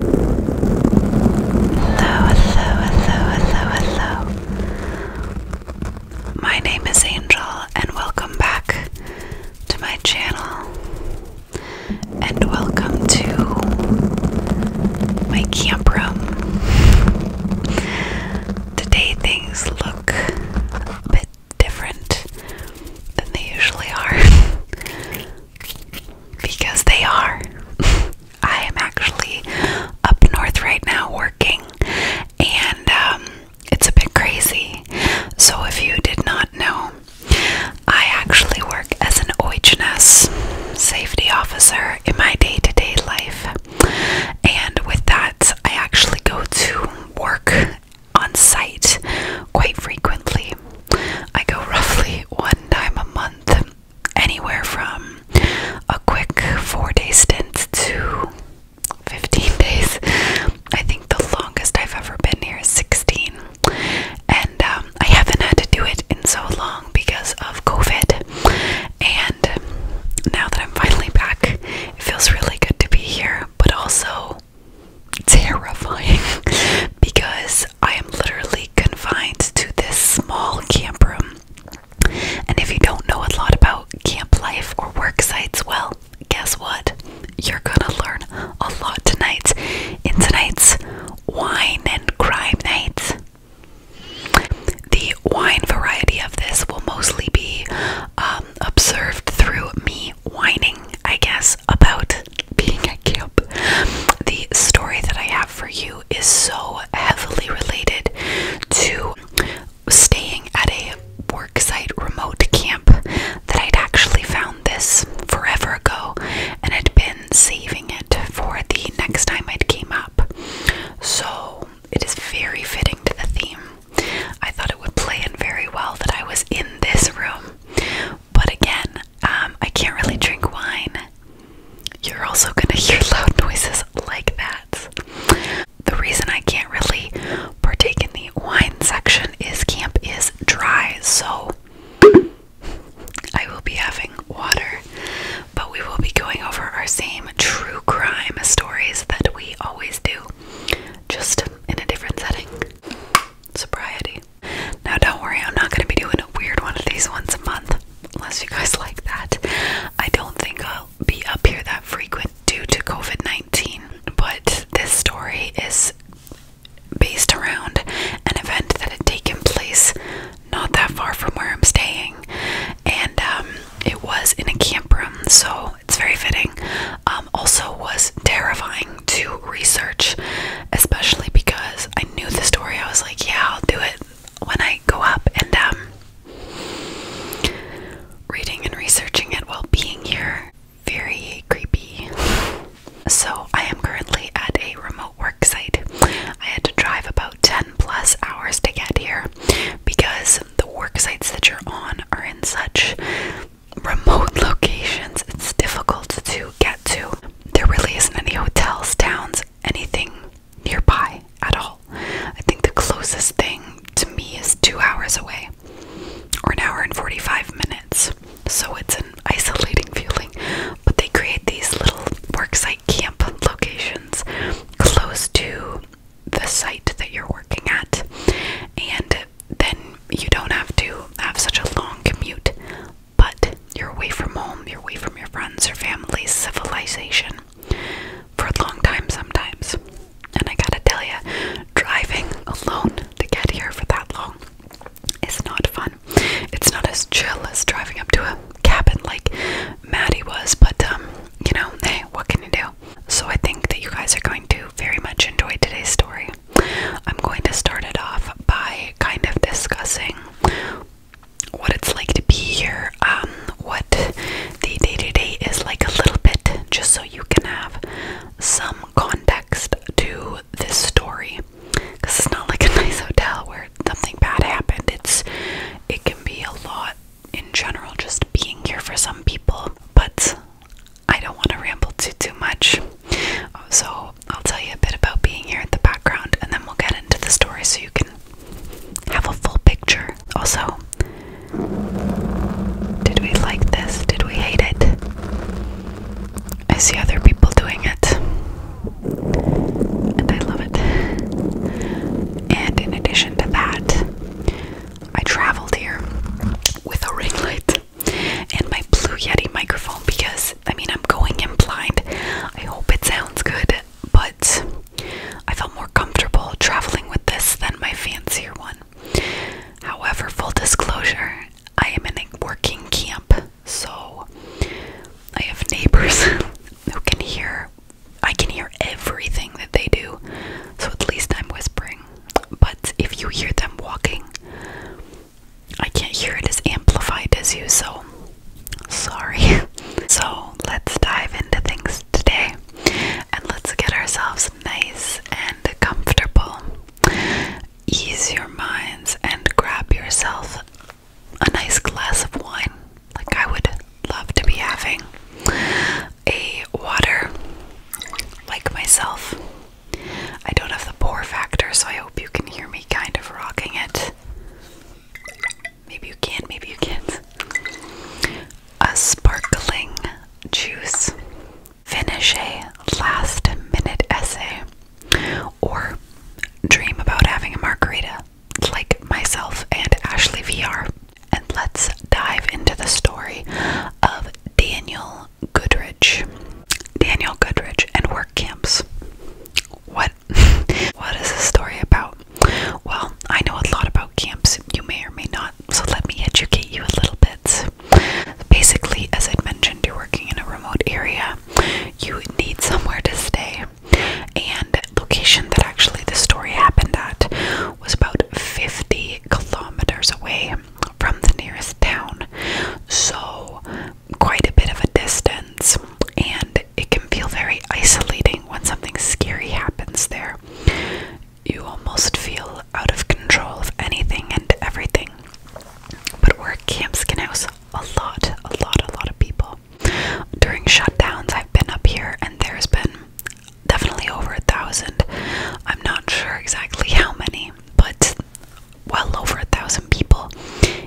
Hello, hello, hello, hello, My name is Angel, and welcome back to my channel. And welcome to my camp room. Today things look a bit different than they usually are because they are. I am actually up north right now working, and um, it's a bit crazy. So, if you did not know, I actually work as an OHS safety officer in my day to day life, and with that, I actually go to work on site quite frequently. I go roughly one time a month anywhere from a quick four day stint to 15 days. I think the longest I've ever been here is 16. And um, I haven't had to do it in so long because of COVID. And now that I'm finally back, it feels really good to be here, but also terrifying because I am literally really confined to this small camp room. And if you don't know a lot about camp life or work sites, well, guess what? You're gonna learn a lot tonight in tonight's Wine and Crime Night. The wine variety of this will mostly be um, observed through me whining, I guess, about being at camp. The story that I have for you is so heavily related to staying at a worksite remote camp that I'd actually found this forever ago and had been saving it for the next time it came up. So it is very fitting to the theme. I thought it would play in very well that I was in this room but again, um, I can't really drink wine. You're also gonna hear loud noises like that. The reason I can't really partake in the wine section is camp is dry, so I will be having water. But we will be going over our same true crime stories that we always do, just in a different setting. Sobriety. Now, don't worry, I'm not going to be doing a weird one of these once a month, unless you guys like that. I don't think I'll be up here that frequent due to COVID 19, but this story is based around an event that had taken place not that far from where I'm staying, and um, it was in a camp room, so it's very fitting. Um, also, was terrifying to research, especially because I knew the story. I was like, yeah, I'll do it when I go up. And um, reading and researching it while being here, very creepy. So I am currently at a remote work site. I had to drive about 10 plus hours to get here because the work sites that you're on are in such remote locations it's difficult to get to there really isn't any hotels, towns, anything nearby at all. I think the closest thing to me is two hours away or an hour and 45 minutes. So it's an isolating feeling. But they create these little worksite camp locations close to the site that you're working at. And then you don't have to have such a long commute but you're away from home, you're away from your friends, your family, civilization for a long time sometimes. And I gotta tell you, driving alone to get here for that long is not fun. It's not as chill as driving up to a cabin like Maddie was, but um, you know, hey, what can you do? So I think that you guys are going to very much enjoy today's story. I'm going to start it off by kind of discussing what it's like to be here, um, what the day to day is like a little bit, just so you can have some context to this story. Because it's not like a nice hotel where something bad happened. It's it can be a lot in general, just being here for some people. But I don't want to ramble too too much. So, I'll tell you a bit about being here in the background and then we'll get into the story so you can have a full picture. Also, did we like this? Did we hate it? I see other people doing it. And I love it. And in addition to that, I traveled here with a ring light and my Blue Yeti microphone because I mean, I'm going in blind. I hope it sounds good, but I felt more comfortable traveling with this than my fancier one. However, full disclosure, I am in a working camp, so I have neighbors who can hear. I can hear everything that they do, so at least I'm whispering. But if you hear them walking, I can't hear it as amplified as you, so sorry. so let's dive into things today and let's get ourselves nice and comfortable. Ease your minds and grab yourself a nice glass of wine, like I would love to be having. A water, like myself, I don't have the bore factor, so I hope you can hear me kind of rocking it. Maybe you can, maybe you can't. A sparkling juice. Finish a last minute essay. Or dream about having a margarita, like myself and Ashley VR. And let's dive into the story of Daniel Goodrich. Daniel Goodrich, and work camps. What? what is this story about? Well, I know a lot about camps. You may or may not, so let me educate you a little bit. Basically, as I mentioned, you're working in a remote area. You need somewhere to stay. And location that actually the story happened at was about 50 kilometers away from the nearest town. So quite a bit of a distance, and it can feel very isolating when something scary happens there. You almost feel out of control of anything and everything. But we're at Camp Skin House a lot, a lot, a lot of people. During shutdowns, I've been up here and there's been definitely over a thousand. I'm not sure exactly how many, but well over a thousand people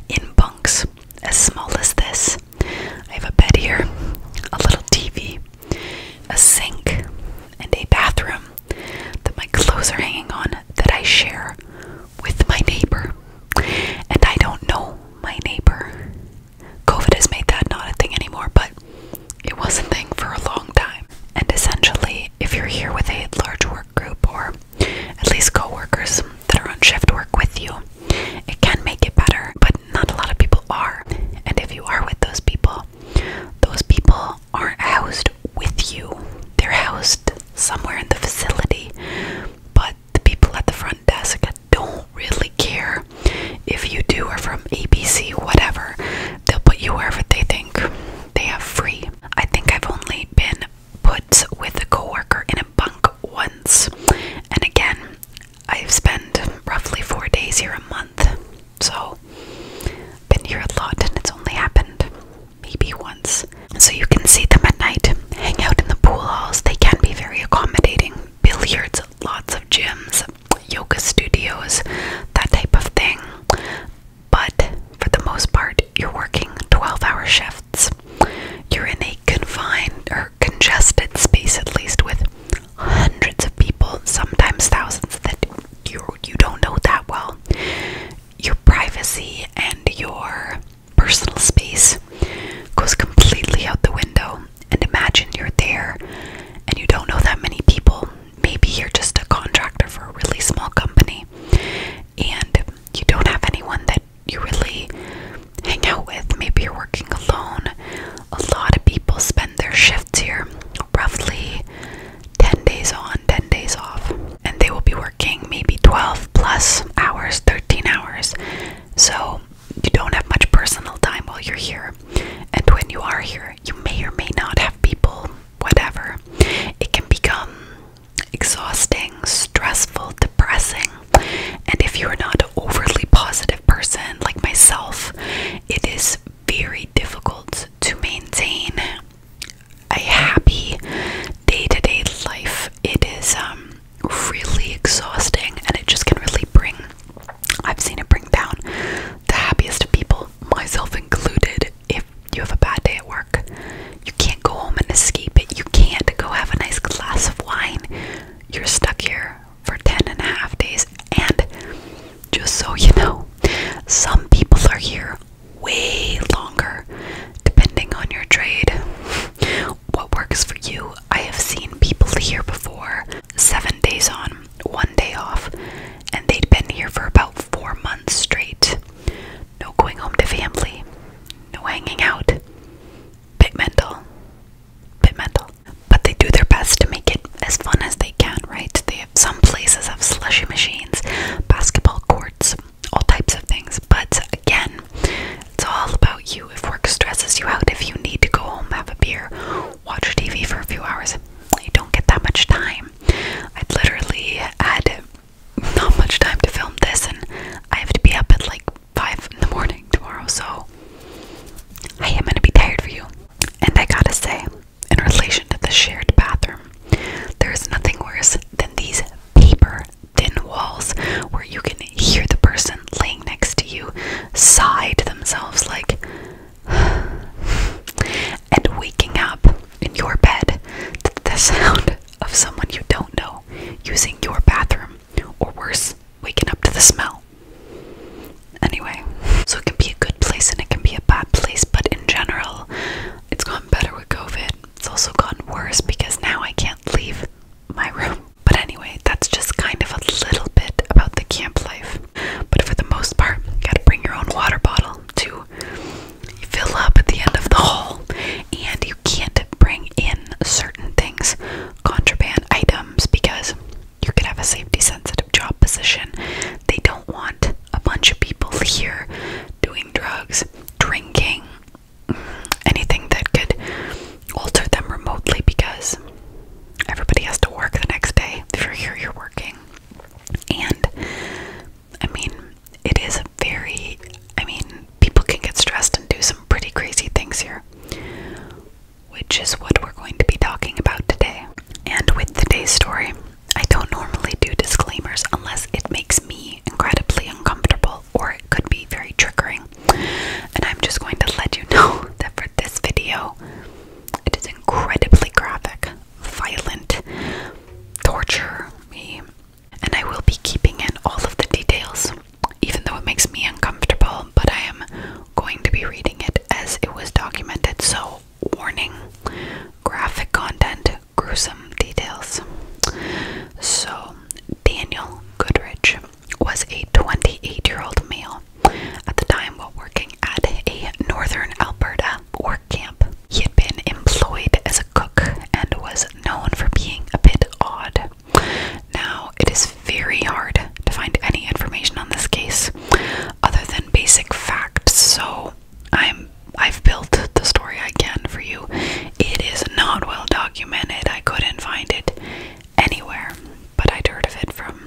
in bunks as small as this. I have a bed here, a little TV, a sink, and a bathroom that my clothes are hanging on that I share with my neighbor. And I don't know my neighbor. COVID has made that not a thing anymore, but it was a thing for a long time. And essentially, if you're here with a large work group or at least coworkers that are on shift work with you, it can make it better, but not a lot of people are. And if you are with those people, those people aren't housed with you. They're housed somewhere in the facility, but the people at the front desk don't really care if you do or from ABC, whatever. They'll put you wherever they think they have free. I think I've only been put with a coworker in a bunk once, and again, I've spent roughly four days here a month, so been here a lot, and it's only happened maybe once. So you can see them at night, hang out in the pool halls. They can be very accommodating. Billiards, lots of gyms, yoga studios, that type of thing. But for the most part, you're working 12 hour shifts. You're in a confined or congested space, at least with hundreds of people, sometimes thousands, that you, you don't know that well. Your privacy and your personal space goes completely out the window. And imagine you're there and you don't know that many people. Maybe you're just a contractor for a really small company. And you don't have anyone that you really hang out with. Maybe you're working alone. A lot of people spend their shifts here roughly 10 days on, 10 days off, and they will be working maybe 12 plus hours, 13 hours. So you don't have much personal time while you're here. And when you are here, you may or may not have people, whatever. It can become exhausting, stressful, depressing. And if you're not an overly positive person like myself, it is very difficult to maintain a happy day-to-day life. It is um, really exhausting and it just can really bring I've seen it bring down the happiest of people, myself included, if you have a bad day at work. You can't go home and escape it. You can't go have a nice glass of wine. You're stuck here for 10 and a half days. And just so you know, some people are here way longer, depending on your trade. What works for you? I have seen people here before, seven days on, one day off, and they'd been here for about four months straight. No going home to family, no hanging out. Bit mental. Bit mental. But they do their best to make it as fun as they can, right? They have some places have slushy machines, basketball courts, all types of things. But again, it's all about you. If work stresses you out, if you need to go home, have a beer, watch TV for a few hours, you don't get that much time. I'd literally had not much time to film this, and I have to be up at like 5 in the morning tomorrow, so I am gonna be tired for you. And I gotta say, in relation to the shared bathroom, there is nothing worse than these paper thin walls where you can hear the person laying next to you sigh to themselves, like, and waking up in your bed the sound of someone you don't know using your bathroom, or worse, waking up to the smell. Anyway, so it can be a good place and it can be a bad place, but in general, it's gotten better with COVID. It's also gotten worse because now I can't leave my room. But anyway, that's just kind of a little bit about the camp life. But for the most part, you gotta bring your own water bottle too. You fill up at the end of the haul, and you can't bring in certain things, contraband items, because you could have a safety sensitive job position. They don't want a bunch of people here doing drugs, drinking, anything that could alter them remotely because everybody has to work the next day. If you're here, you're working. And I mean, it is a very, I mean, people can get stressed and do some pretty crazy things here, which is what we're going to be talking about today. And with today's story, I don't normally do disclaimers unless it makes me incredibly uncomfortable or it could be very triggering. And I'm just going to let you know that for this video, it is incredibly graphic violent torture me. And I will be keeping in all of the details, even though it makes me uncomfortable, but I am going to be reading it as it was documented. So, warning graphic content, gruesome details. So, Daniel Goodrich was a 28 year old male at the time while working at a northern Alberta work camp. He had been employed as a cook and was known for being a bit odd. Now, it is very hard to find any information on this case other than basic facts, so I'm I've built the story I can for you. It is not well documented. I couldn't find it anywhere, but I'd heard of it from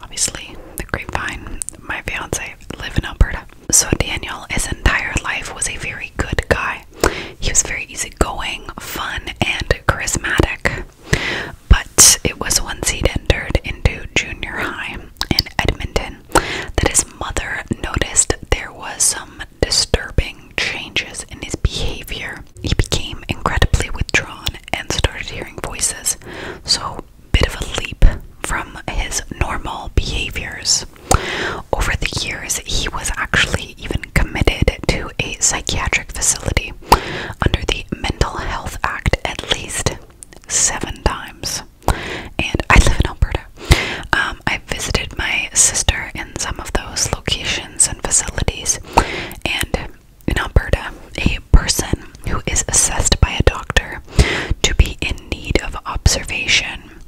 obviously the grapevine. My fiance live in Alberta. So, Daniel, his entire life was a very good guy. He was very easygoing, fun, and charismatic. But it was once he'd entered into junior high in Edmonton that his mother noticed there was some disturbing changes in his behavior. He became incredibly withdrawn and started hearing voices. So bit of a leap from his normal behaviors. Over the years, he was actually even committed to a psychiatric facility under the Mental Health Act at least seven times. And I live in Alberta. Um, I visited my sister in some of those locations and facilities. And in Alberta, a person who is assessed by a doctor to be in need of observation,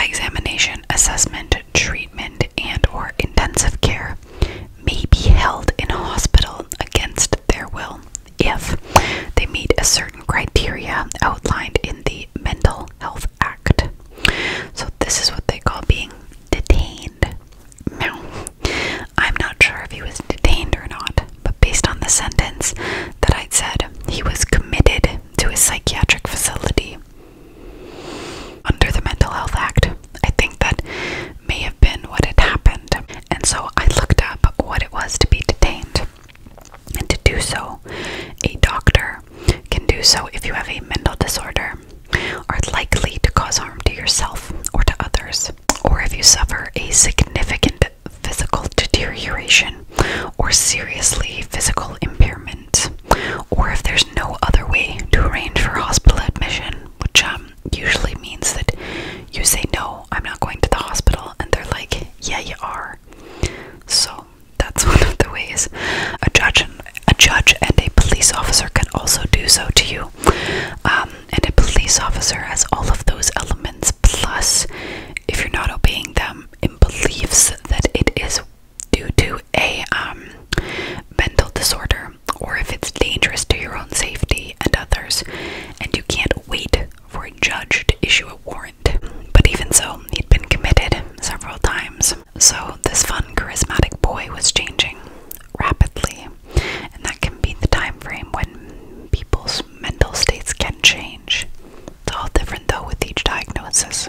examination, assessment, treatment, and or intensive care may be held in a hospital against their will if they meet a certain criteria outlined in the Mental Health Act. So this is what they call being detained. Now, I'm not sure if he was detained or not, but based on the sentence that I'd said, he was committed to a psychiatric facility under the Mental Health Act. I think that may have been what had happened. And so I looked up what it was to be detained. And to do so, a doctor can do so if you have a mental disorder, are likely to cause harm to yourself or to others, or if you suffer a significant physical deterioration or seriously physical impairment, or if there's no other way to arrange for hospital admission, which um, usually means that you say, No, I'm not going to the hospital, and they're like, Yeah, you are. So that's one of the ways a judge and a judge and a police officer can also do so to you. Um, and a police officer has all of those elements, plus if you're not obeying them in beliefs that it is due to a um, mental disorder or if it's dangerous to your own safety and others, and you can't wait for a judge to issue a warrant. But even so, he'd been committed several times. So this fun, charismatic boy was changing rapidly, and that can be the time frame when people mental states can change. It's all different though with each diagnosis.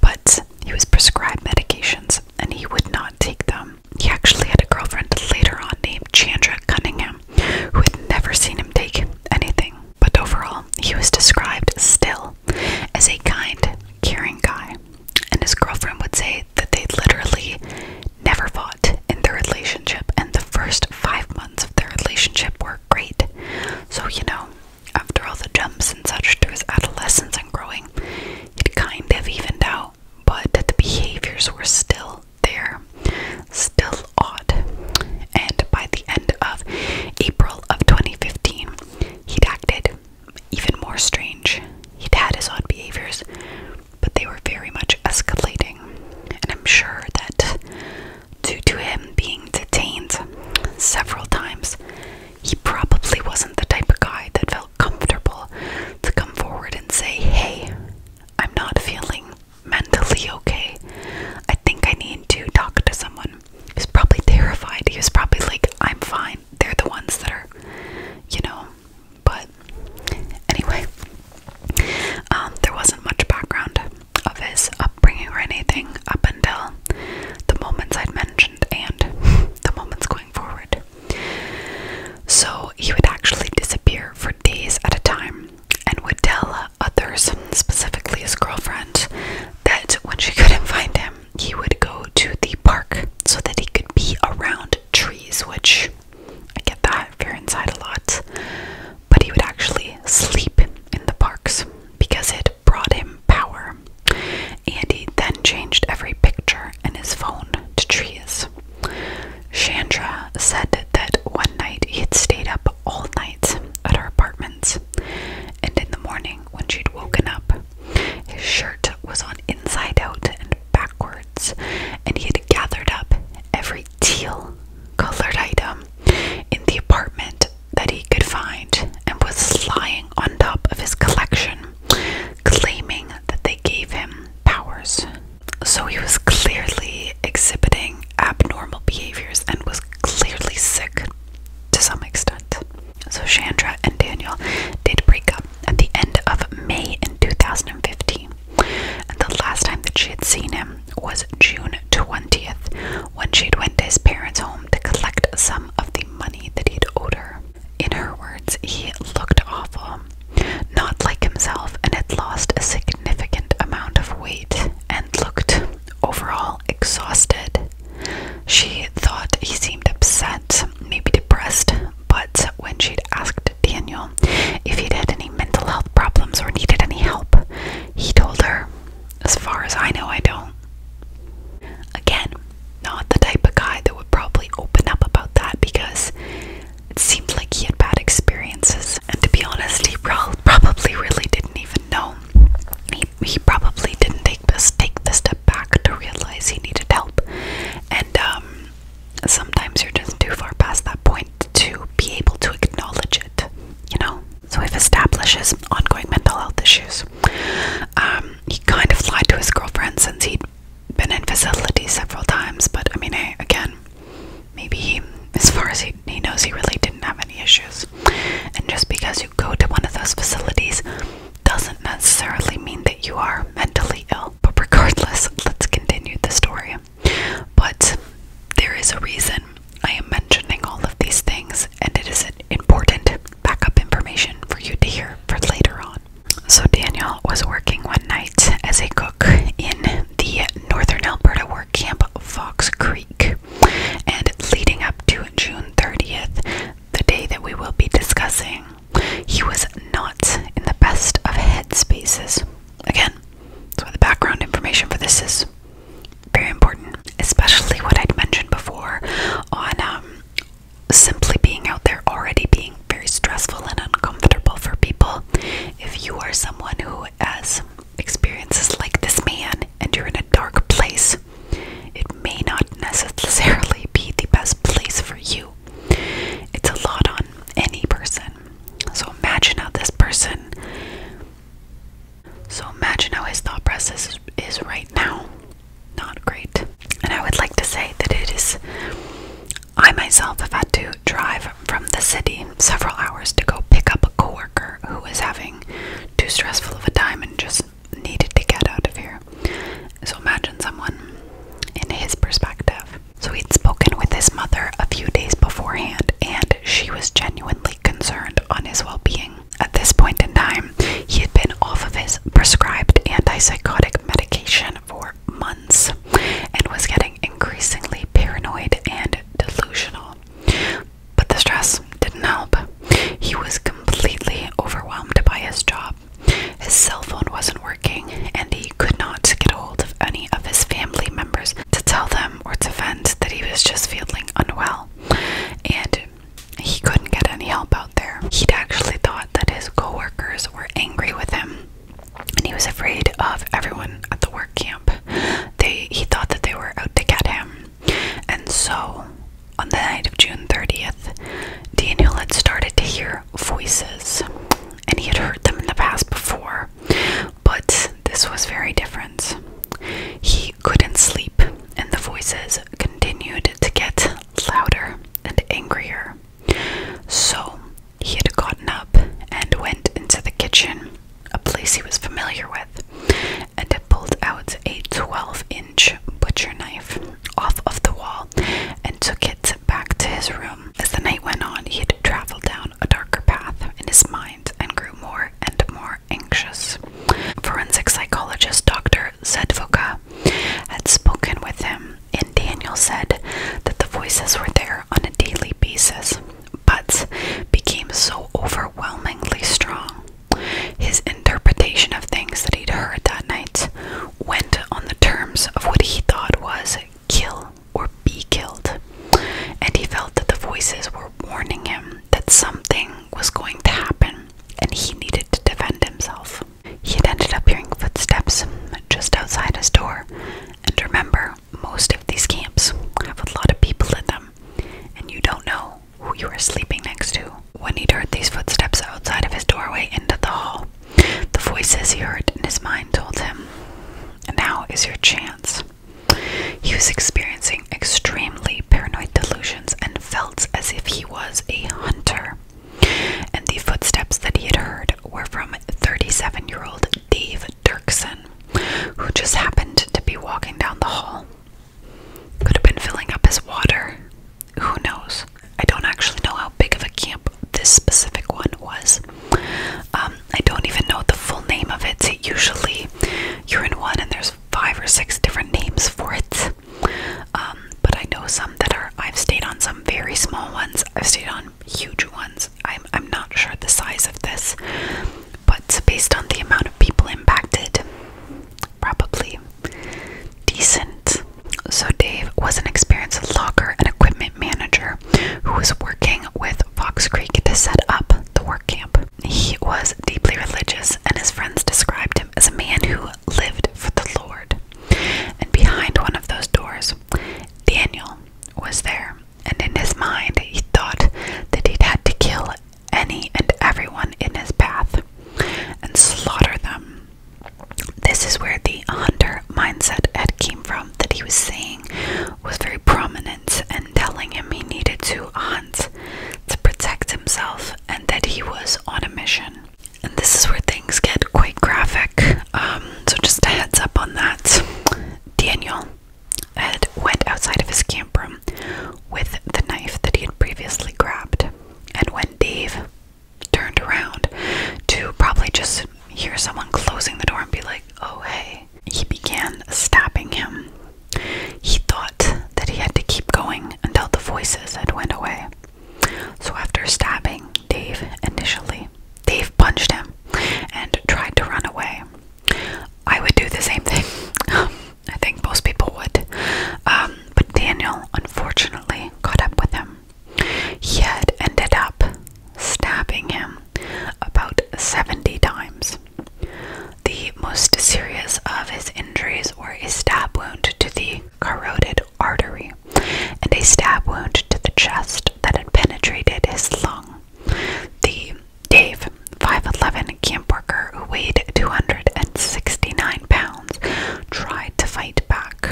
But he was prescribed medications and he would not take them. He actually had a girlfriend later on named Chandra Cunningham who had never seen him take anything. But overall, he was described still as a kind, caring guy. And his girlfriend would say that they literally never fought in their relationship, and the first five months of their relationship were great. So, you know, after all the jumps and such to his adolescence and growing, it kind of evened out, but the behaviors were still there, still odd. And by the end of April of 2015, he'd acted even more strange. He'd had his odd behaviors, but they were very much escalating. And I'm sure that due to him being detained several times. He probably wasn't the type of guy that felt comfortable to come forward and say, Hey, I'm not feeling mentally okay. I think I need to talk to someone. He was probably terrified. He was probably like, I'm fine. They're the ones that are, you know. But anyway, um, there wasn't much background of his upbringing or anything up until the moments I'd mentioned and the moments going forward. So he would actually disappear for days at a time and would tell others, specifically his girlfriend, that when she couldn't find him, he would go to the park so that he could be around trees, which I get that if you're inside a lot but he would actually sleep in the parks because it brought him power. And he then changed every picture and his phone to trees. Chandra said that one night he had stayed up all night at her apartment, and in the morning, when she'd woken up, his shirt was on inside out and backwards, and he had gathered up every teal colored item in the apartment that he could find and was lying on top of his collection, claiming that they gave him powers. So he was clearly exhibiting abnormal behaviors and was clearly sick to some extent. So Chandra and Daniel did break up at the end of May in 2015. And the last time that she had seen him was June 20th, when she had went to his parents' home to collect some of the money that he'd owed her. In her words, he looked awful, not like himself, and had lost a significant amount of weight and looked overall exhausted. She thought he seemed upset, maybe depressed, but when she'd asked Daniel if he'd had any mental health problems or needed any help, he told her, As far as I know, I don't. Again, not the type of guy that would probably open up about that because it seemed like he had bad experiences. And to be honest, he probably really didn't even know. He, probably didn't take this, the step back to realize he needed help. And um, sometimes you're just too far past that point to be able to acknowledge it, you know? So we've established his ongoing mental health issues. Um, he kind of lied to his girlfriend since he'd been in facility several times, but I mean, again, maybe he, as far as he, he knows, he really didn't have any issues. And just because you go to one of those facilities doesn't necessarily mean that you are mentally ill. But regardless, let's continue the story. But there is a reason I am mentioning all of these things, and it is important backup information for you to hear for later on. So, Daniel was working one night as a cook in the northern Alberta work camp Fox Creek, and leading up to June 30th, the day that we will be discussing, he was not in the best of headspaces. Again, that's why the background information for this is very important, especially what I'd mentioned before on um, simply being out there already being very stressful and uncomfortable for people. If you are someone who has experiences like this man and you're in a dark place, it may not necessarily be the best place for you. It's a lot on any person. So imagine how this person, so imagine how his thought process is, right now. Not great. And I would like to say that it is, I myself have had to drive from the city several hours to go pick up a coworker who was having too stressful of a time and just needed to get out of here. So imagine someone in his perspective. So he'd spoken with his mother a few days beforehand, and she was genuinely concerned on his well being. At this point in time, he had been off of his prescribed antipsychotic medication for months and was getting increasingly paranoid and delusional. But the stress didn't help. He was completely overwhelmed by his job. His cell phone wasn't working, and he could not get hold of any of his family members to tell them um, or to vent that he was just feeling unwell and he couldn't get any help out there. He'd actually thought that his coworkers were angry with him and he was afraid of everyone at the work camp. They he thought that they were out to get him. And so on the night of June 30th, Daniel had started to hear voices and he had heard them in the past before, but this was very different. He couldn't sleep, and the voices continued to get louder and angrier. So he had gotten up and went into the kitchen, a place he was familiar with, and had pulled out a 12 inch butcher knife off of the wall and took it back to his room as the night went on, he had traveled down a darker path in his mind and grew more and more anxious. Forensic psychologist Dr. Zedvoka had spoken with him, and Daniel said that the voices were there on a daily basis, but became so overwhelmingly strong. His interpretation of things that he'd heard that night went on the terms of what he thought was kill or be killed, and he felt that the voices were warning him that something was going to happen and he needed to defend himself. He had ended up hearing footsteps just outside his door, and remember, most of these camps have a lot of people in them, and you don't know who you are sleeping next to. When he heard these footsteps outside of his doorway into the hall, the voices he heard in his mind told him, Now is your chance. He was experiencing extremely paranoid delusions and felt as if he was a hunter. And the footsteps that he had heard were from 37 year old Dave Dirksen, who just happened to be walking down the hall. Could have been filling up his water. Who knows? I don't actually know how big of a camp this specific one was. Um, I don't even know the full name of it. usually you're in one and there's five or six different names for it. Um, but I know some that are, I've stayed on some very small ones, I've stayed on huge ones. I'm, I'm not sure the size of this, but based on the amount of people impacted, probably decent. So, Dave was an experienced locker and equipment manager who was working with Fox Creek to set up the work camp. He was deeply religious, and his friends described him as a man who lived for the Lord. And behind one of those doors, Daniel was there, and in his mind, he thought that he'd had to kill any and everyone in his path and slaughter them. This is where the hunter mindset Ed came from that he was saying was very prominent and telling him he needed to hunt to protect himself and that he was on a mission. And this is where things get quite graphic, um, so just a heads up on that. Daniel Ed went outside of his camper with the knife that he had previously grabbed, and when Dave turned around to probably just hear someone closing the door and be like, oh hey, he began stabbing him. He thought that he had to keep going until the voices had went away. So after stabbing Dave initially, Dave punched him and tried to run away. I would do the same thing. I think most people would. Um, but Daniel unfortunately caught up with him. He had ended up stabbing him about 70 times. The most serious of his injuries were a stab wound to the carotid artery and a stab wound to the chest that had penetrated his lung. The Dave, 5'11 camp worker who weighed 269 pounds, tried to fight back,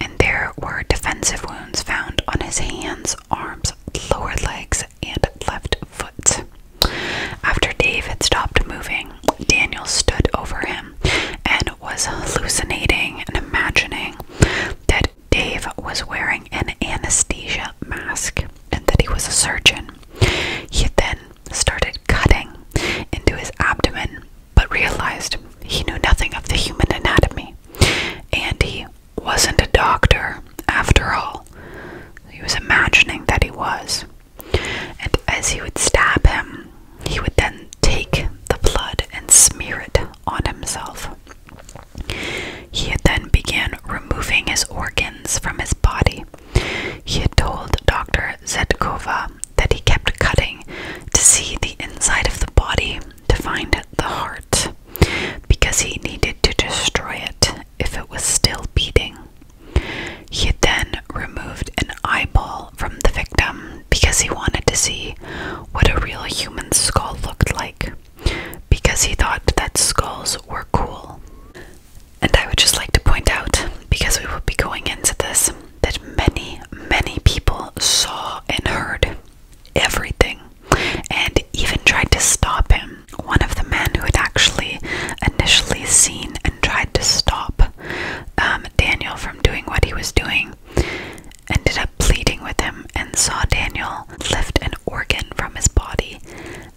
and there were defensive wounds found on his hands, arms, lower legs, and left foot. After Dave had stopped moving, Daniel stood over him and was hallucinating and imagining that Dave was wearing an anesthesia mask and that he was a surgeon. He then started cutting into his abdomen but realized he knew nothing of the human anatomy and he wasn't a doctor after all. He was imagining that he was. And as he would stab him, he would then take the blood and smear it on himself. He had then began removing his organs from his body. He had told Dr. Zetkova that he kept cutting to see the inside of the body to find the heart because he needed to destroy it if it was still beating. He then removed an eyeball from the victim because he wanted to see what a real human skull looked like because he thought that skulls were cool. And I would just like to point out, because we will be going into this, that many, many people saw and heard everything and even tried to stop him. One of the men who had actually initially seen and tried to stop um, Daniel from doing what he was doing ended up pleading with him and saw Daniel lift an organ from his body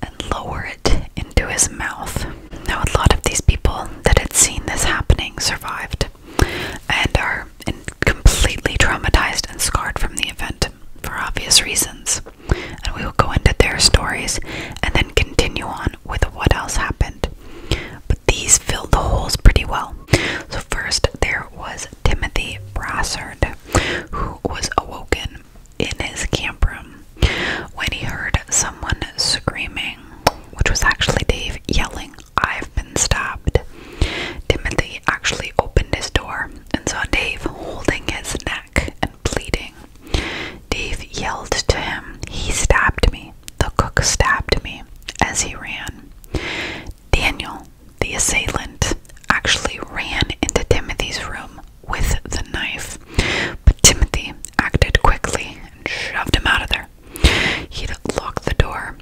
and lower it into his mouth. Now, a lot of these people that had seen this happening survived and are and completely traumatized and scarred from the event for obvious reasons. And we will go into their stories and then continue on with what else happened. But these filled the holes pretty well. So, first, there was Timothy Brassard, who was awoken in his camp room when he heard someone screaming, which was actually Dave yelling, I've been." Stopped. Timothy actually opened his door and saw Dave holding his neck and pleading. Dave yelled to him, He stabbed me. The cook stabbed me as he ran. Daniel, the assailant, actually ran into Timothy's room with the knife, but Timothy acted quickly and shoved him out of there. He'd locked the door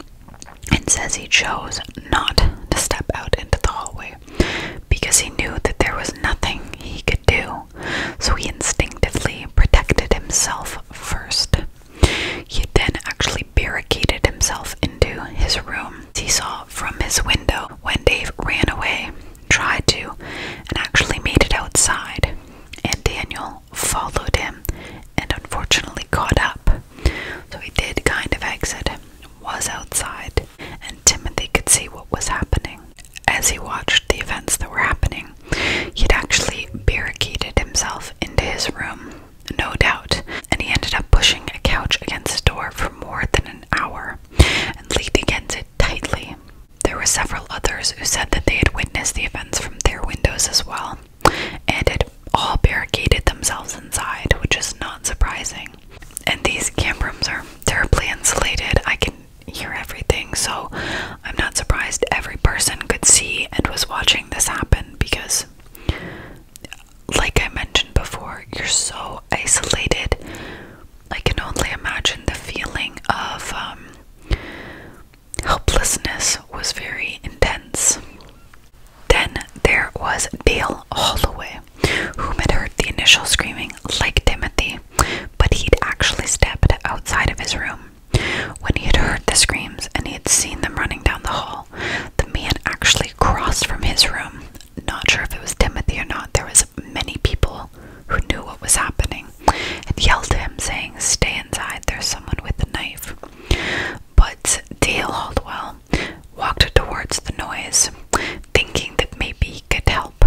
and says he chose not to step out into the hallway because he knew that there was nothing he could do, so he instinctively protected himself first. He then actually barricaded himself into his room. He saw from his window when Dave ran away, tried to, and actually made it outside, and Daniel followed him and unfortunately caught up so he did kind of exit, was outside, and Timothy could see what was happening. As he watched the events that were happening, he'd actually barricaded himself into his room, no doubt, and he ended up pushing a couch against the door for more than an hour and leaned against it tightly. There were several others who said that they had witnessed the events from their windows as well, and it all barricaded themselves inside, which is not surprising. And these cam rooms are terribly insulated. I can hear everything, so I'm not surprised every person could see and was watching this happen because, like I mentioned before, you're so isolated. I can only imagine the feeling of um, helplessness was very intense. Then there was Dale Holloway, whom had heard the initial screaming like Timothy, but he'd actually stepped outside of his room. When he had heard the screams and he had seen them running down the hall, the man actually crossed from his room. Not sure if it was Timothy or not, there was many people who knew what was happening and yelled to him saying, Stay inside, there's someone with a knife. But Dale Holdwell walked towards the noise, thinking that maybe he could help.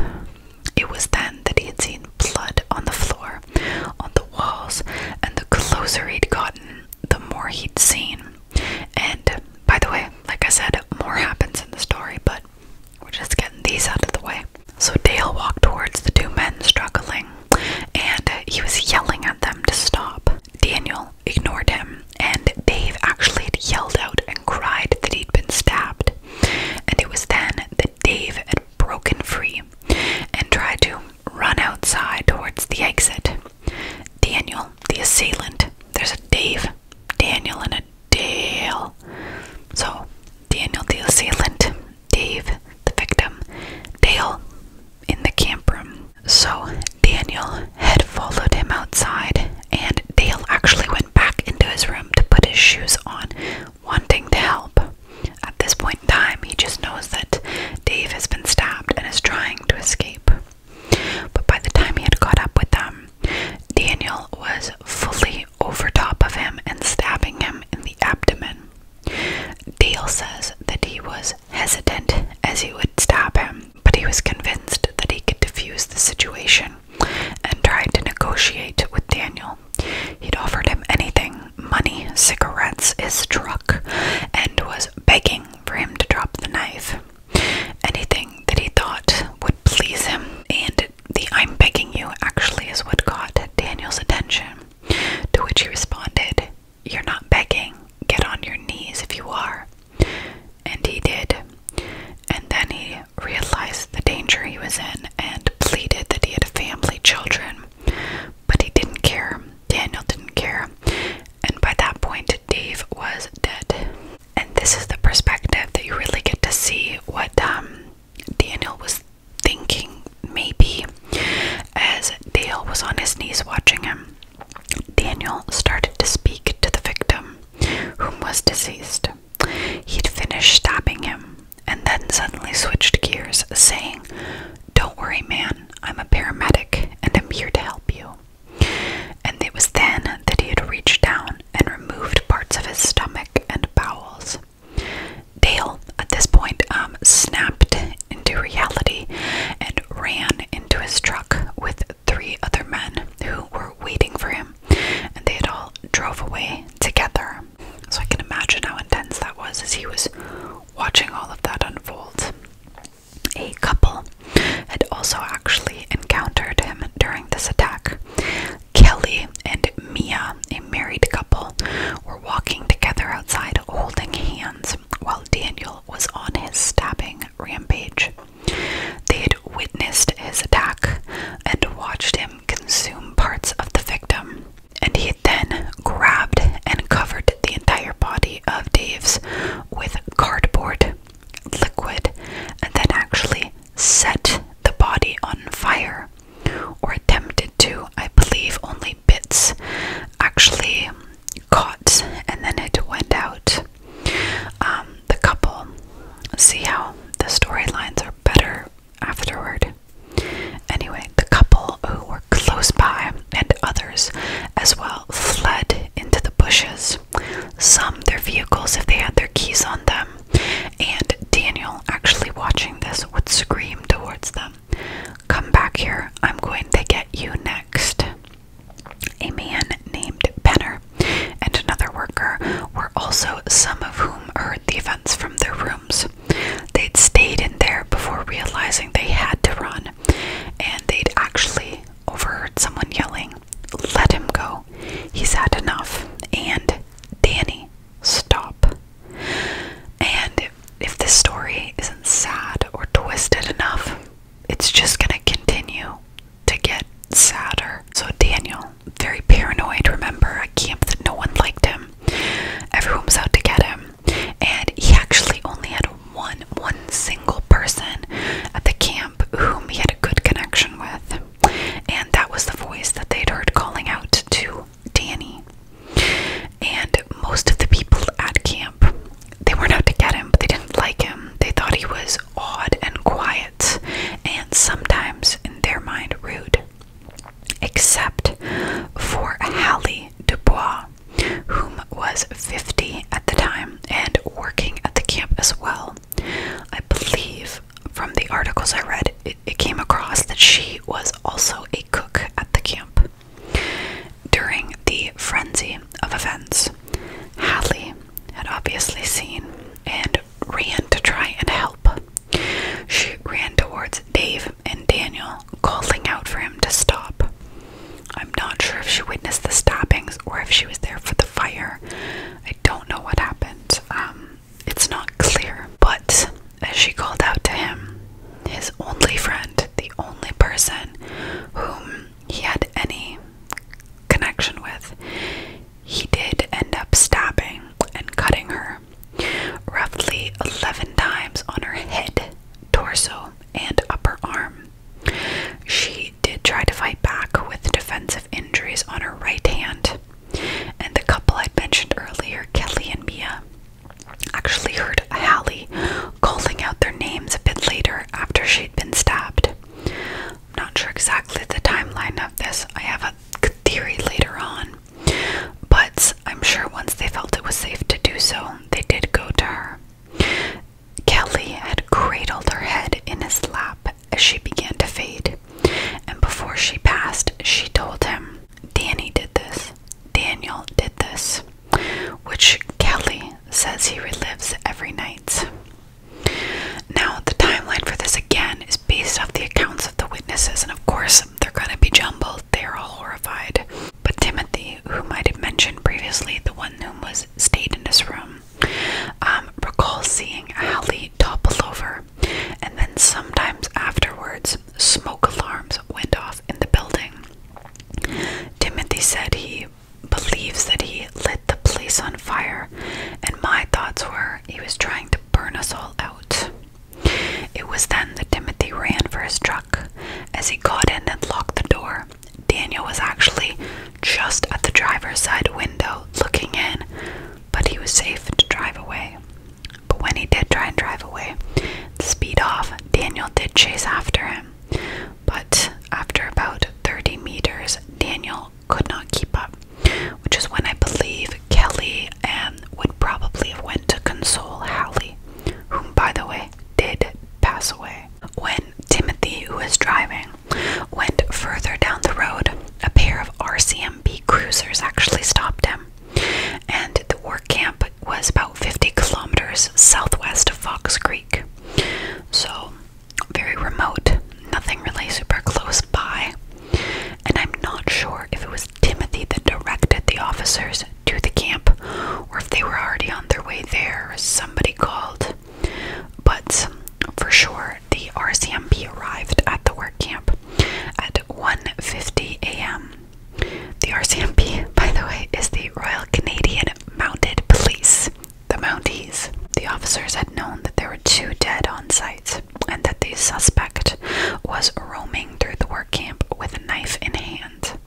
It was then that he had seen blood on the floor, on the walls, and the closer he'd gotten, the more he'd seen. And by the way, like I said, more happens in the story, but we're just getting these out of the way. So Dale walked towards the two men struggling, and he was yelling at them to stop. Daniel ignored him, and Dave actually yelled out and cried that he'd been stabbed. And it was then that Dave had broken free and tried to run outside towards the exit. Daniel, the assailant, there's a Dave, Daniel, and a Dale. So, Daniel, the assailant, Dave, the victim, Dale in the camp room. So Daniel had followed him outside, and Dale actually went back into his room to put his shoes on, wanting to help. At this point in time, he just knows that Dave has been stabbed and is trying to escape. But by the time he had caught up with them, Daniel was fully over top of him and stabbing him in the abdomen. Dale says that he was hesitant as he would stop him, but he was convinced that he could defuse the situation and tried to negotiate with Daniel. He'd offered him anything money, cigarettes, his truck, and was begging for him to drop the knife. Anything that he thought would please him, and the I'm begging you actually is what caught Daniel's attention, to which he responded, you're not begging. Get on your knees if you are. And he did. And then he realized the danger he was in and pleaded that he had family, children. But he didn't care. Daniel didn't care. And by that point, Dave was dead. And this is the perspective that you really get to see what um, Daniel was thinking, maybe, as Dale was on his knees watching him. Daniel started to speak to the victim, whom was deceased. He'd finished stabbing him, and then suddenly switched gears, saying, Don't worry, man, I'm a paramedic and I'm here to help you. And it was then that he had reached down and removed parts of his stomach and bowels. Dale, at this point, um, snapped into reality and ran into his truck with three other men who were waiting for him, and they had all drove away together. So I can imagine how intense that was as he was watching all of that unfold. A couple had also actually encountered him during this attack. Kelly and Mia, a married couple, were walking together outside holding hands while Daniel was on his stabbing rampage. They'd witnessed his attack and watched him consume parts of the victim. And he then grabbed and covered the entire body of Dave's with cardboard, liquid, and then actually set the body on fire. Or attempted to, I believe only bits actually caught and then it went out. Um, the couple see how the storylines are better afterward. Anyway, the couple who were close by and others as well fled into the bushes. Some their vehicles if they had their keys on them, and Daniel, actually watching this, would scream towards them come back here. I'm going to get you next. A man named Penner and another worker were also some of whom heard the events from their rooms. They'd stayed in there before realizing they had to run, and they'd actually overheard someone yelling, Let him go. He's had enough. And Danny, stop. And if this story isn't sad or twisted enough, it's just going to continue to get sadder. So, Daniel, very paranoid, remember, a camp that no one liked him. Everyone was out to get him. And he actually only had one, one single person at the camp whom he had a good connection with. And that was the voice that they'd heard calling out to Danny and most of the people at camp they weren't out to get him but they didn't like him they thought he was odd and quiet and sometimes in their mind rude except for hallie dubois whom was 50 at the time and working at the camp as well i believe from the articles i read it came across that she was also a cook at the camp during the frenzy of events, Hadley had obviously seen and ran to try and help. She ran towards Dave and Daniel, calling out for him to stop. I'm not sure if she witnessed the stabbings or if she was there for the fire. I don't know what happened. Um, it's not clear. But as she called out to him, his only friend, the only person whom he had any connection with, he did end up stabbing and cutting her roughly 11 times on her head, torso, and upper arm. She did try to fight back with defensive injuries on her right hand. And the couple i mentioned earlier, Kelly and Mia, actually heard Hallie calling out their names a bit later after she'd been stabbed. I'm not sure exactly the timeline of this. I have a theory later on. But I'm sure once they felt it was safe to do so, they did go to her. Kelly had cradled her head in his lap as she began to fade, and before she passed, she told him, Danny did this. Daniel did this which Kelly says he relives every night. Now, the timeline for this again is based off the accounts of the witnesses, and of course, they're going to be jumbled. They're all horrified. But Timothy, who I had mentioned previously, the one who was stayed in this room, um, recalls seeing Ali topple over, and then sometimes afterwards, smoke alarms went off in the building. Timothy said he believes that he lit the place on fire, and my thoughts were he was trying to burn us all out. It was then that Timothy ran for his truck. As he got in and locked the door, Daniel was actually just at the driver's side window looking in, but he was safe to drive away. But when he did try and drive away, to speed off, Daniel did chase after him. But after about 30 meters, Daniel could not keep up, which is when I believe Kelly um, would probably have went to console Halley, whom, by the way, did pass away. When Timothy, who was driving, went further down the road, a pair of RCMB cruisers actually stopped him, and the war camp was about 50 kilometers southwest of Fox Creek. So, very remote, nothing really super close by. And I'm not sure if it was Timothy that directed the officers to the camp or if they were already on their way there. Somebody called. But for sure, the RCMP arrived at the work camp at 1:50 a.m. The RCMP, by the way, is the Royal Canadian Mounted Police. The Mounties. The officers had known that there were two dead on site and that the suspect was roaming through the work camp with a knife in hand.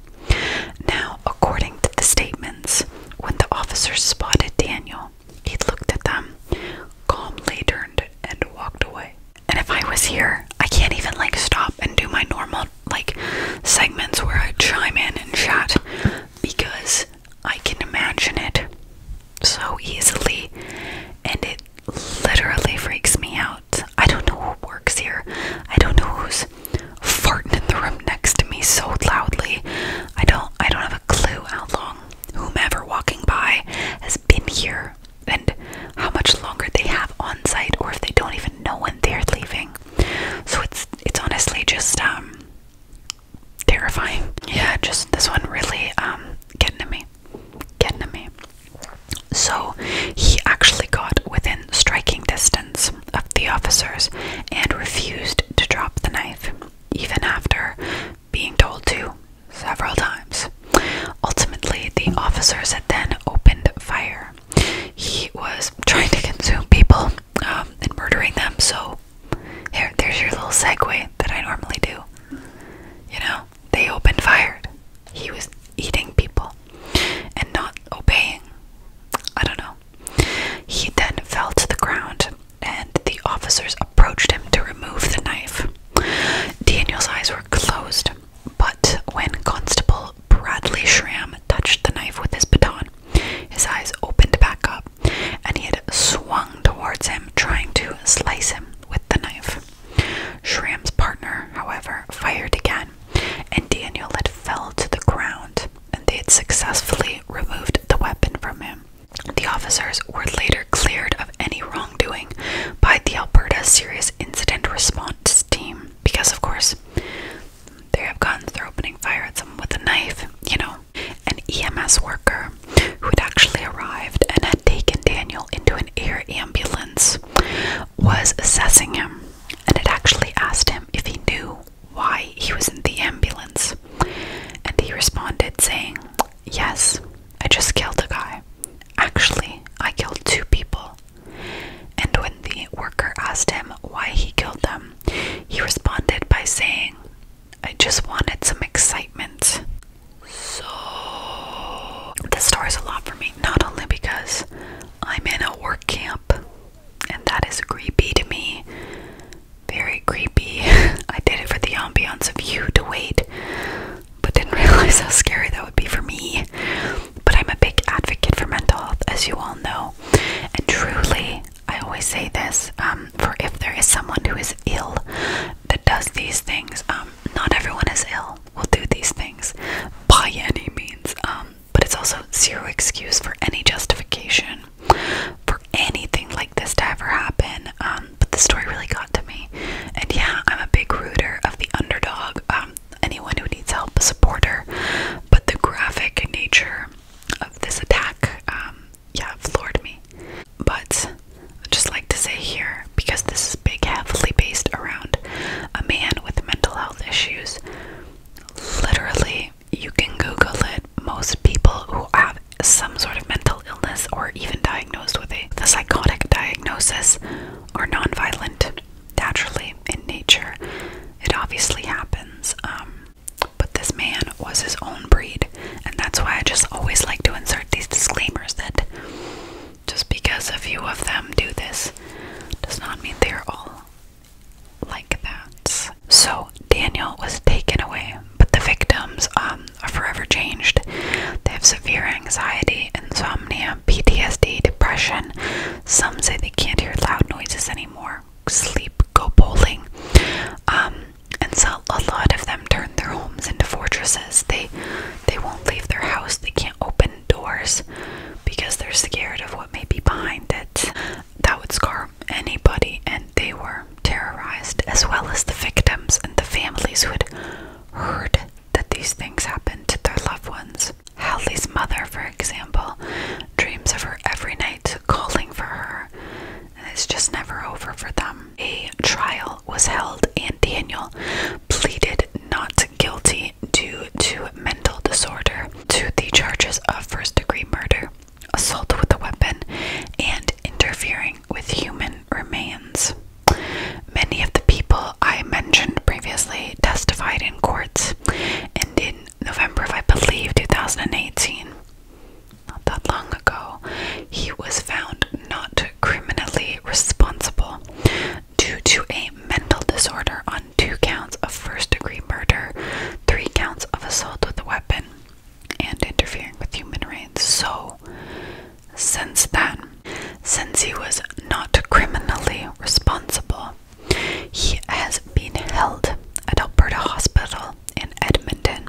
Now, according to the statements, when the officers spotted Daniel, he looked at them, calmly turned, and walked away. And if I was here, I can't even like stop and do my normal like segments where I chime in and chat because I can imagine it so easily and it literally freaks me out. I don't know who works here. I don't know who's farting in the room next to me so loudly. I don't I don't have a clue how long whomever walking by has been here and how much longer they have on site or if they don't even know when they're leaving. So it's it's honestly just um, terrifying. Yeah, just this one really um, getting to me. Getting to me. So he actually got within striking distance of the officers and refused to drop the knife, even after being told to several times. Ultimately, the officers had then opened fire. He was trying to consume people um, and murdering them. So here, there's your little segue that I normally do. You know, they opened fire. He was eating people and not obeying. I don't know. He then fell to the ground, and the officers approached him to remove the knife. Daniel's eyes were closed, but when Constable Bradley Shram touched the knife with his baton, his eyes opened back up, and he had swung towards him, trying to slice him with the knife. Shram's partner, however, fired again, and Daniel had fell to the ground, and they had successfully removed the weapon from him. The officers were later cleared of any wrongdoing by the Alberta Serious Incident Response Team because, of course, they have guns, they're opening fire at someone with a knife, you know. An EMS worker who had actually arrived and had taken Daniel into an air ambulance was assessing him and had actually asked him if he knew why he was in the ambulance. And he responded, saying, Yes, I just killed a guy. Actually, I killed two people. And when the worker asked him why he killed them, he responded by saying, I just wanted some excitement. So, this story's a lot for me, not only because I'm in a work camp, and that is creepy to me. Very creepy. I did it for the ambiance of you to wait, but didn't realize how scary that would be for me. But I'm a big advocate for mental health, as you all know. And truly, I always say this um, for if there is someone who is ill that does these things, um, not everyone is ill, will do these things by any means. Um, but it's also zero excuse for any justification for anything like this to ever happen. but the story really got to me. And yeah, I'm a big rooter of the underdog anyone who needs help, a supporter. But the graphic nature of this attack, um, yeah, floored me. But I'd just like to say here, because this is big, heavily based around a man with mental health issues, literally, you can Google it. Most people who have some sort of mental illness or even diagnosed with a psychotic diagnosis are non-violent naturally in nature. It obviously happens. Um, but this man was his own breed, and that's why I just always like to insert these disclaimers that just because a few of them do this does not mean they are all like that. So Daniel was taken away, but the victims um, are forever changed. They have severe anxiety, insomnia, PTSD, depression. Some say they can't hear loud noises anymore, sleep, go bowling. Um, and so a lot of them turn their homes into fortresses. They they won't leave their house. They can't open doors because they're scared of what may be behind it. That would scar anybody, and they were terrorized, as well as the victims and the families who had heard that these things happened to their loved ones. Howley's mother, for example, dreams of her every night, calling for her, and it's just never over for them. A trial was held, and Daniel pleaded not guilty due to mental disorder to the charges of first degree murder, assault with a weapon, and interfering with human remains. Many of the people I mentioned previously testified in courts and in November if I believe, 2018, not that long ago, he was found not criminally responsible due to a mental disorder on two counts of first degree murder, three counts of assault with a weapon, and interfering with human rights. So, since then, since he was not criminally responsible, he has been held at Alberta Hospital in Edmonton.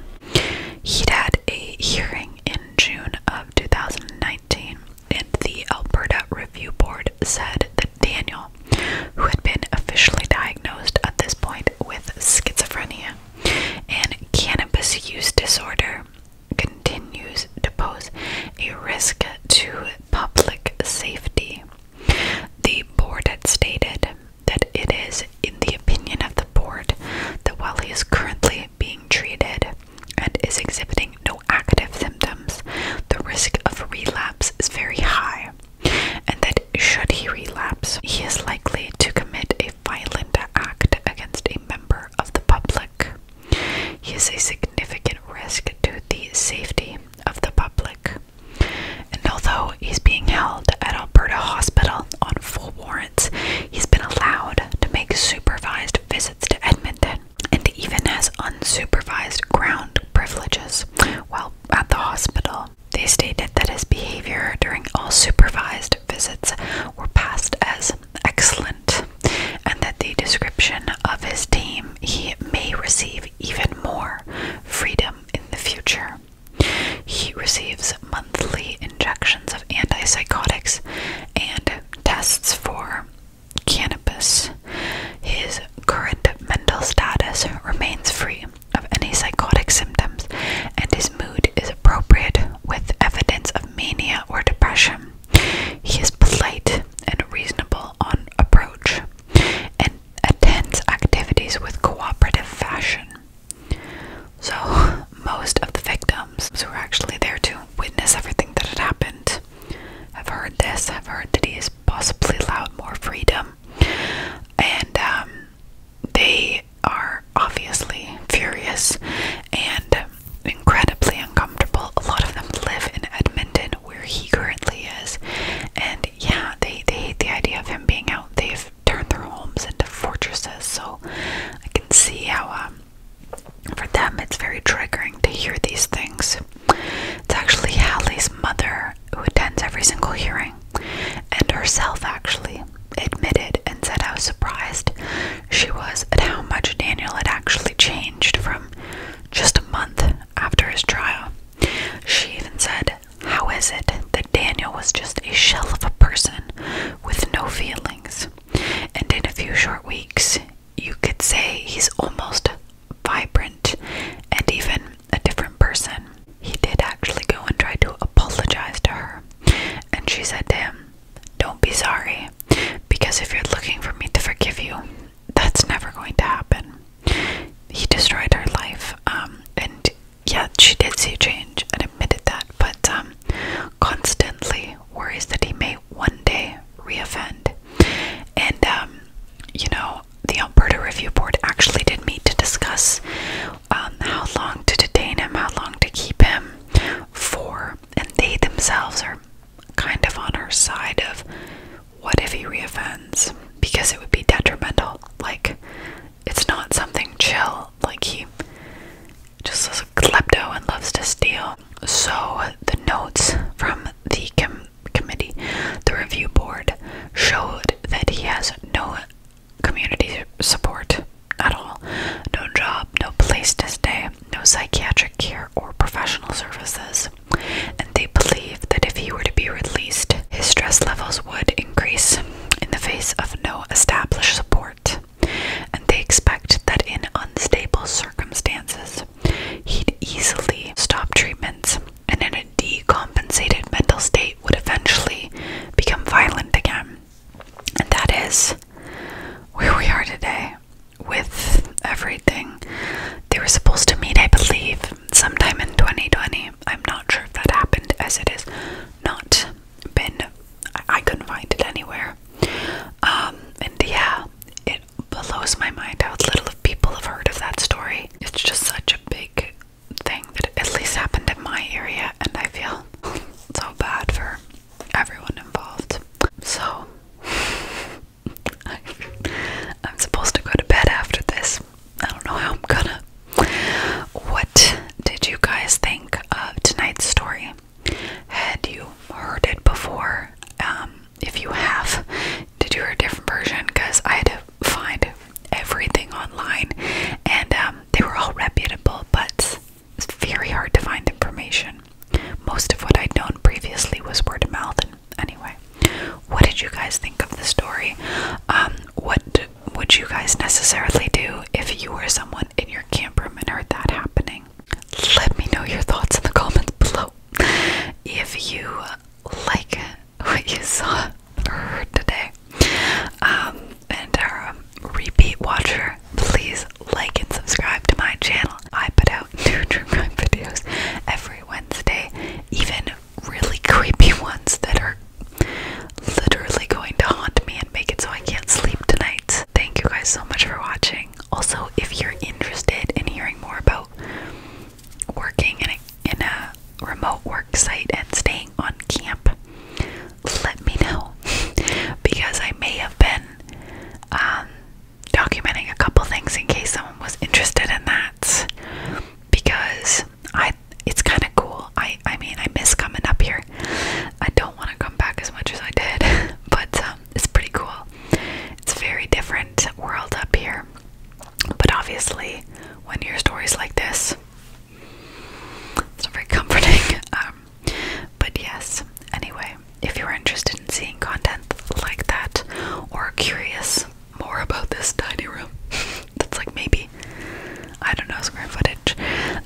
he had a hearing in June of 2019, and the Alberta Review Board said that Daniel, who had been officially diagnosed at this point with schizophrenia and cannabis use disorder, continues to pose a risk to public safety. The board had stated that it is, in the opinion of the board, that while he is currently being treated and is exhibiting no active symptoms, the risk of relapse is very high, and that should he relapse, he is likely to commit a violent act against a member of the public. He is a significant risk to the safety of the public. And although he's being held at Alberta Hospital on full warrants, he's been allowed to make supervised visits to Edmonton and even has unsupervised ground privileges while at the hospital. They stated that his behavior during all supervised visits were passed as excellent and that the description of his team he may receive even more freedom in the future. He receives monthly injections of antipsychotics and tests for cannabis. His current mental status remains free of any psychotic symptoms, and his mood is appropriate with evidence of mania or depression. He is polite and reasonable on approach and attends activities with cooperative fashion. So, most of the victims who were actually there to witness everything that had happened have heard this, have heard that he has possibly allowed more freedom, and um, they are obviously furious and incredibly uncomfortable. A lot of them live in Edmonton, where he currently is, and yeah, they they hate the idea of him being out. They've turned their homes into fortresses, so I can see how um, for them it's very triggering to hear these things. It's actually Hallie's mother who attends every single hearing, and herself actually admitted and said how surprised she was at how much Daniel had actually changed from just a month after his trial. She even said, How is it that Daniel was just a shell of a person with no feelings? And in a few short weeks, you could say he's almost vibrant and even a different person. He did actually go and try to apologize to her, and she said to him, Don't be sorry, because if you're looking for me to forgive you, that's never going to happen. He destroyed her life, um, and yet she did see change and admitted that, but um, constantly worries that he may one day reoffend. And um, you know, the Alberta Review Board actually did meet to discuss how long to detain him, how long to keep him for, and they themselves are kind of on our side of what if he reoffends because it would be detrimental. Like it's not something chill. Like he just is klepto and loves to steal. So the notes from the committee, the review board, showed that he has no community support at all. No job, no place to stay, no psychiatric care or professional services, and they believe that if he were to be released, his stress levels would increase in the face of no established support, and they expect that in unstable circumstances, he'd easily stop treatments and in a decompensated mental state would eventually become violent again. And that is where we are today with everything. They were supposed to meet, I believe, sometime in 2020. I'm not sure if that happened, as it has not been. I, couldn't find it anywhere. Um, and yeah, it blows my mind how little people have heard of that story. It's just such a big thing that at least happened in my area, and I feel so bad for everyone involved. So, I'm supposed to go to bed after this. I don't know how I'm gonna. What did you guys think of tonight's story? Had you heard it before? Um, if you have, did you hear a different version? Because I had to find everything online and um, they were all reputable, but it's very hard to find information. Most of what I'd known previously was word of mouth. And anyway, what did you guys think of the story? Um, what would you guys necessarily do if you were someone in your camp and heard that happening? Let me know your thoughts in the comments below. If you like what you saw or heard today, um, and are a repeat watcher, please like and subscribe to my channel. I put new true crime videos every Wednesday, even really creepy ones that are literally going to haunt me and make it so I can't sleep tonight. Thank you guys so much for watching. Also, if you're interested in hearing more about working in a, in a remote work site and staying on camp, let me know because I may have been um, documenting a couple things in case someone was interested in that because I it's kind of cool. I I mean, I miss coming up here. I don't want to come back as much as I did, but um, it's pretty cool. It's a very different world up here. But obviously, when your hear stories like this, it's not very comforting. Um, but yes, anyway, if you're interested in seeing content like that or curious more about this tiny room, that's like maybe, I don't know, square footage,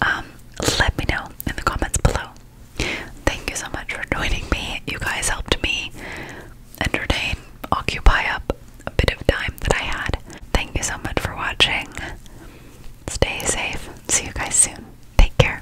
um, let me know in the comments below. Thank you so much for joining me. You guys helped me entertain, occupy up a bit of time that I had. Thank you so much for watching. Stay safe. See you guys soon. Take care.